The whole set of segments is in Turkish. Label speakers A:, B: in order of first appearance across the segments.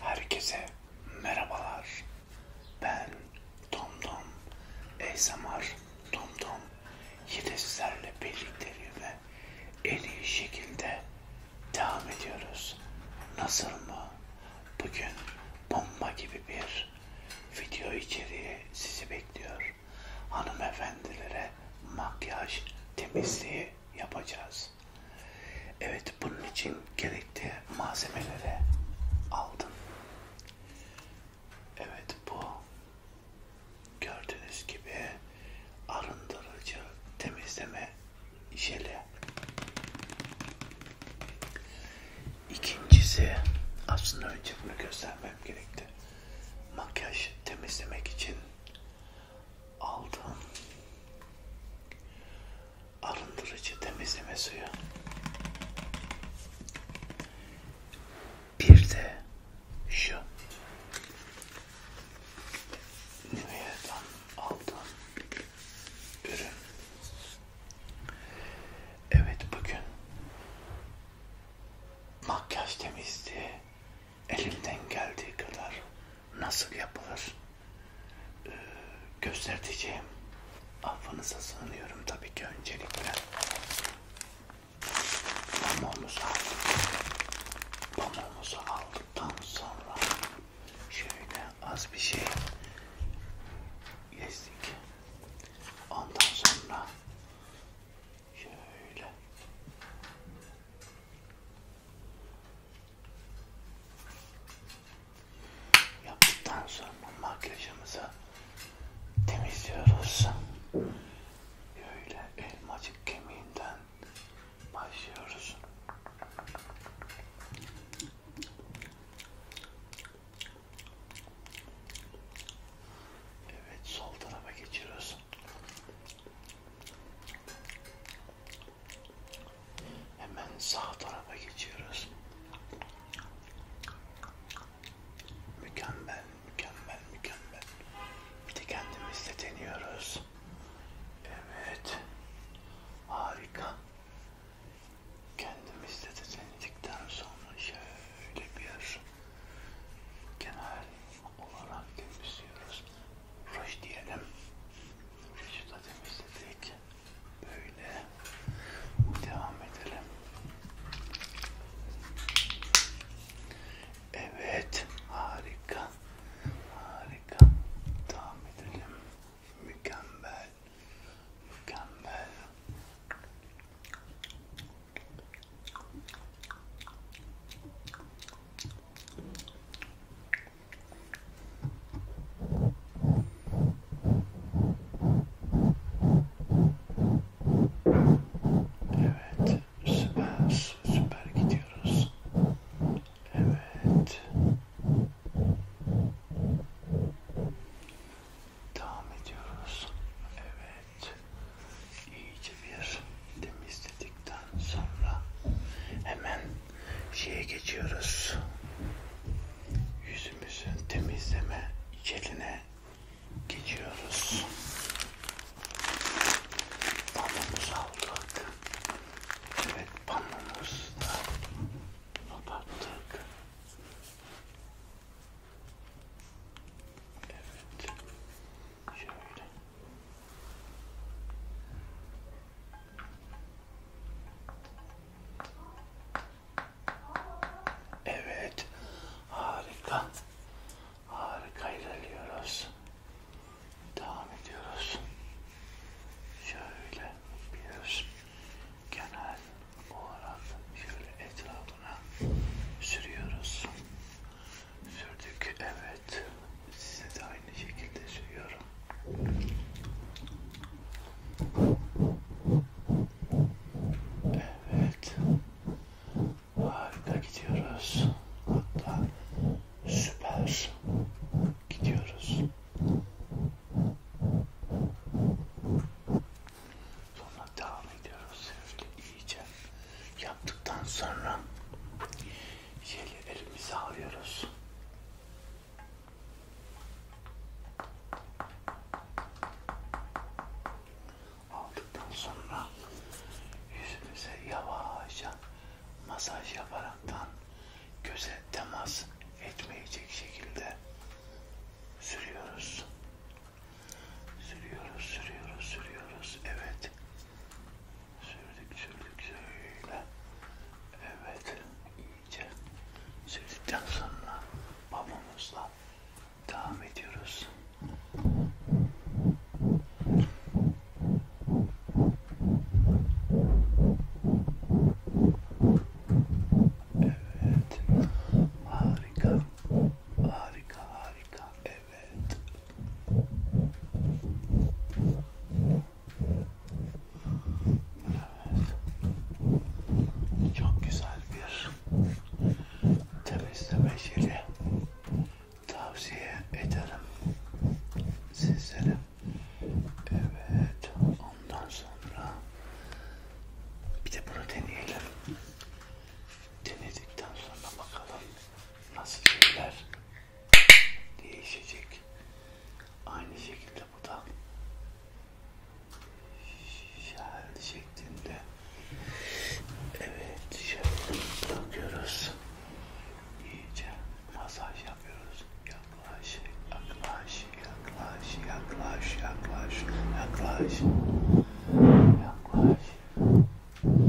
A: Herkese merhabalar. Ben TomTom ASMR TomTom yine sizlerle birlikteliğime en iyi şekilde devam ediyoruz. Nasıl mı? Bugün bomba gibi bir video içeriği sizi bekliyor. Hanımefendilere makyaj temizliği yapacağız yapacağız. Evet bunun için gerekli malzemeleri aldım. Evet bu gördüğünüz gibi arındırıcı temizleme jeli. İkincisi aslında önce bunu göstermem gerekti. Makyaj temizlemek için aldığım arındırıcı temizleme suyu bir de şu Nivea'dan aldığım ürün evet bugün makyaj temizliği elimden geldiği kadar nasıl yapılır e, göstereceğim. Affınıza sığınıyorum tabii ki öncelikle. Pamuğumuzu aldık. Pamuğumuzu aldıktan sonra şöyle az bir şey gezdik. Ondan sonra şöyle Yaptıktan sonra makyajımızı temizliyoruz. Böyle elmacık kemiğinden başlıyoruz. Evet sol tarafa geçiyoruz. Hemen sağ tarafa geçiyoruz. Mükemmel, mükemmel, mükemmel. Bir de kendimizle deniyoruz. Evet. Harika. Kendimizle de denedikten sonra şöyle bir kenar olarak temizliyoruz ruj diyelim. Ruju da temizledik. Böyle devam edelim. Evet, harika. Harika. Devam edelim. Mükemmel. Mükemmel. Evet, süper, süper gidiyoruz. Evet. Devam ediyoruz. Evet iyice bir temizledikten sonra hemen şeye geçiyoruz. Yüzümüzün temizleme içeline geçiyoruz. Panomuzu aldık. Evet panomuzu da kapattık. Evet. Şöyle. Evet. Harika. Harika ilerliyoruz. Devam ediyoruz. Şöyle bir genel olarak şöyle etrafına sürüyoruz sürdük. Evet. Size de aynı şekilde sürüyorum. Evet. Harika gidiyoruz. Hatta süper gidiyoruz. Sonra devam ediyoruz. Sürekli yiyeceğim. Yaptıktan sonra jellerimizi alıyoruz. Aldıktan sonra yüzümüze yavaşça masaj yaparaktan göze temas etmeyecek şekilde sürüyoruz. Sürüyoruz, sürüyoruz, sürüyoruz. Evet. Sürdük, sürdük, şöyle. Evet. İyice sürdükten sonra babamızla devam ediyoruz. Evet. Harika. Harika, harika. Evet. Evet. Çok güzel bir temizleme jeli tavsiye ederim sizlere. Evet. Ondan sonra bir de bunu deneyelim denedikten sonra bakalım nasıl şeyler değişecek. Aynı şekilde bu da şer şeklinde. Evet, şöyle bakıyoruz. İyice masaj yapıyoruz. Yaklaş, yaklaş, yaklaş, yaklaş, yaklaş, yaklaş. Yaklaş. Evet.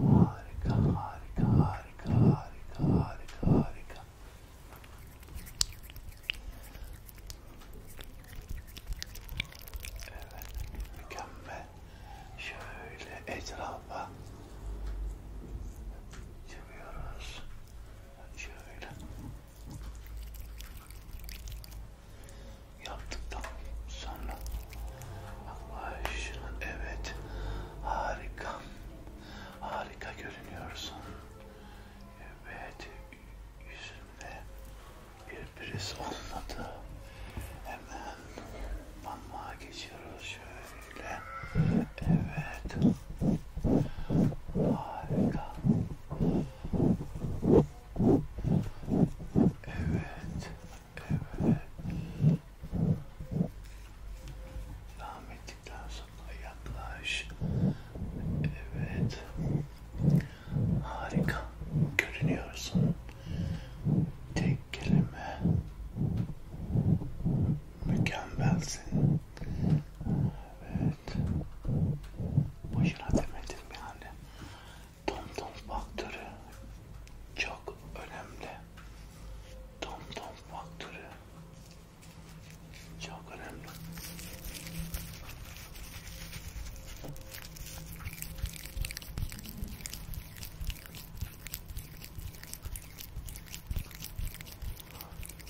A: Harika, harika, harika, harika, harika, harika. Evet, mükemmel. Şöyle etrafa çıkıyoruz. Şöyle. Yaptıktan sonra yaklaş. Evet. Harika. Harika görünüyorsun. Evet. Yüzünde bir priz olmadı. Hemen banmağa geçiyoruz şöyle. Evet. Harika. Evet. Evet. Devam ettikten sonra yaklaş. Evet. Harika. Görünüyorsun. Tek kelime. Mükemmelsin. Evet. Boşuna demedim yani. TomTom faktörü çok önemli. TomTom faktörü çok önemli.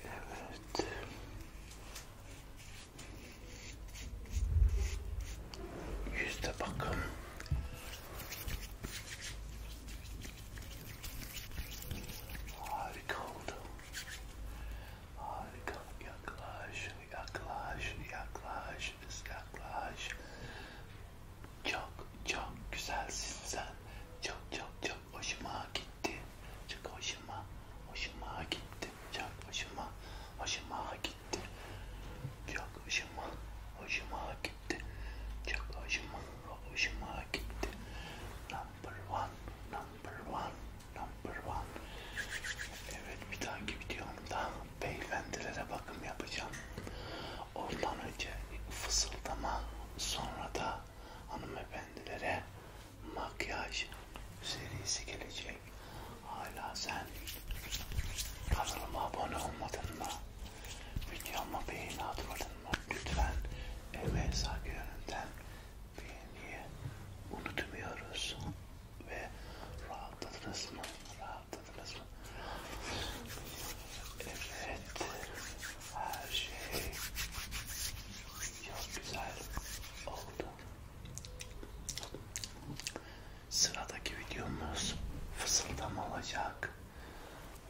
A: Evet. Yüzde bakım. Harika oldu. Harika. Yaklaş, yaklaş, yaklaş yaklaş, yaklaş. Çok çok güzelsin sen. Çok çok çok hoşuma gitti. Çok hoşuma, hoşuma gitti. Çok hoşuma, hoşuma gitti. Çok hoşuma, hoşuma gitti. Çok hoşuma, hoşuma gitti. Number one, number one, number one. Evet bir dahaki videomda beyefendilere bakım yapacağım. Ondan önce fısıldama sonra da hanımefendilere makyaj serisi gelecek. Hala sen kanalıma abone olmadın mı? Videoma beğeni atmadın mı? Lütfen emeğe saygı yönünden beğeniyi unutmuyoruz ve rahatladınız mı? Rahatladınız mı? Evet, her şey çok güzel oldu. Sıradaki videomuz fısıldama olacak.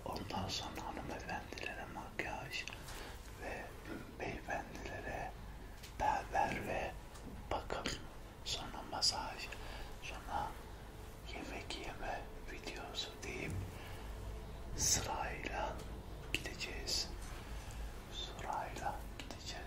A: Ondan sonra hanımefendilere makyaj ve beyefendilere berber ve bakım sonra masaj, sonra yemek yeme videosu deyip sırayla gideceğiz. Sırayla gideceğiz.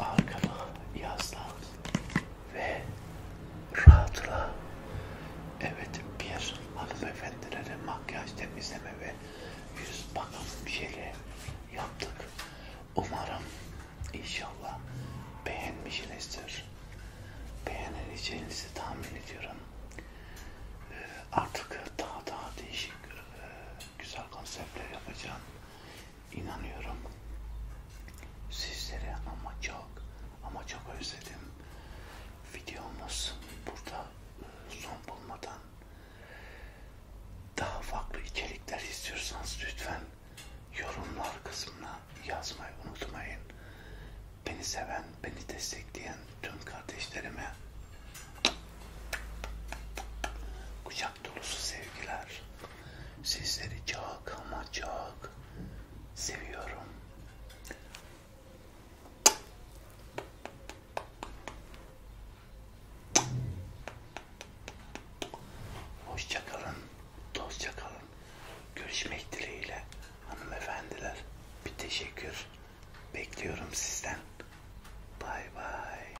A: arkana yaslan ve rahatla. Evet bir hanımefendilere makyaj temizleme ve yüz bakım jeli yaptık. Umarım inşallah beğenmişsinizdir. Beğenileceğinizi tahmin ediyorum. Ee, artık daha daha değişik e, güzel konseptler yapacağım inanıyorum. Sizleri ama çok ama çok özledim. Videomuz burada e, son bulmadan daha farklı içerikler istiyorsanız lütfen yorumlar kısmına yazmayı unutmayın. Beni seven, beni destekleyen tüm kardeşlerime kucak kucak dolusu sevgiler. Sizleri çok ama çok seviyorum. Hoşça kalın, dostça kalın. Görüşmek dileğiyle hanımefendiler. Bir teşekkür bekliyorum sizden. Bay bay.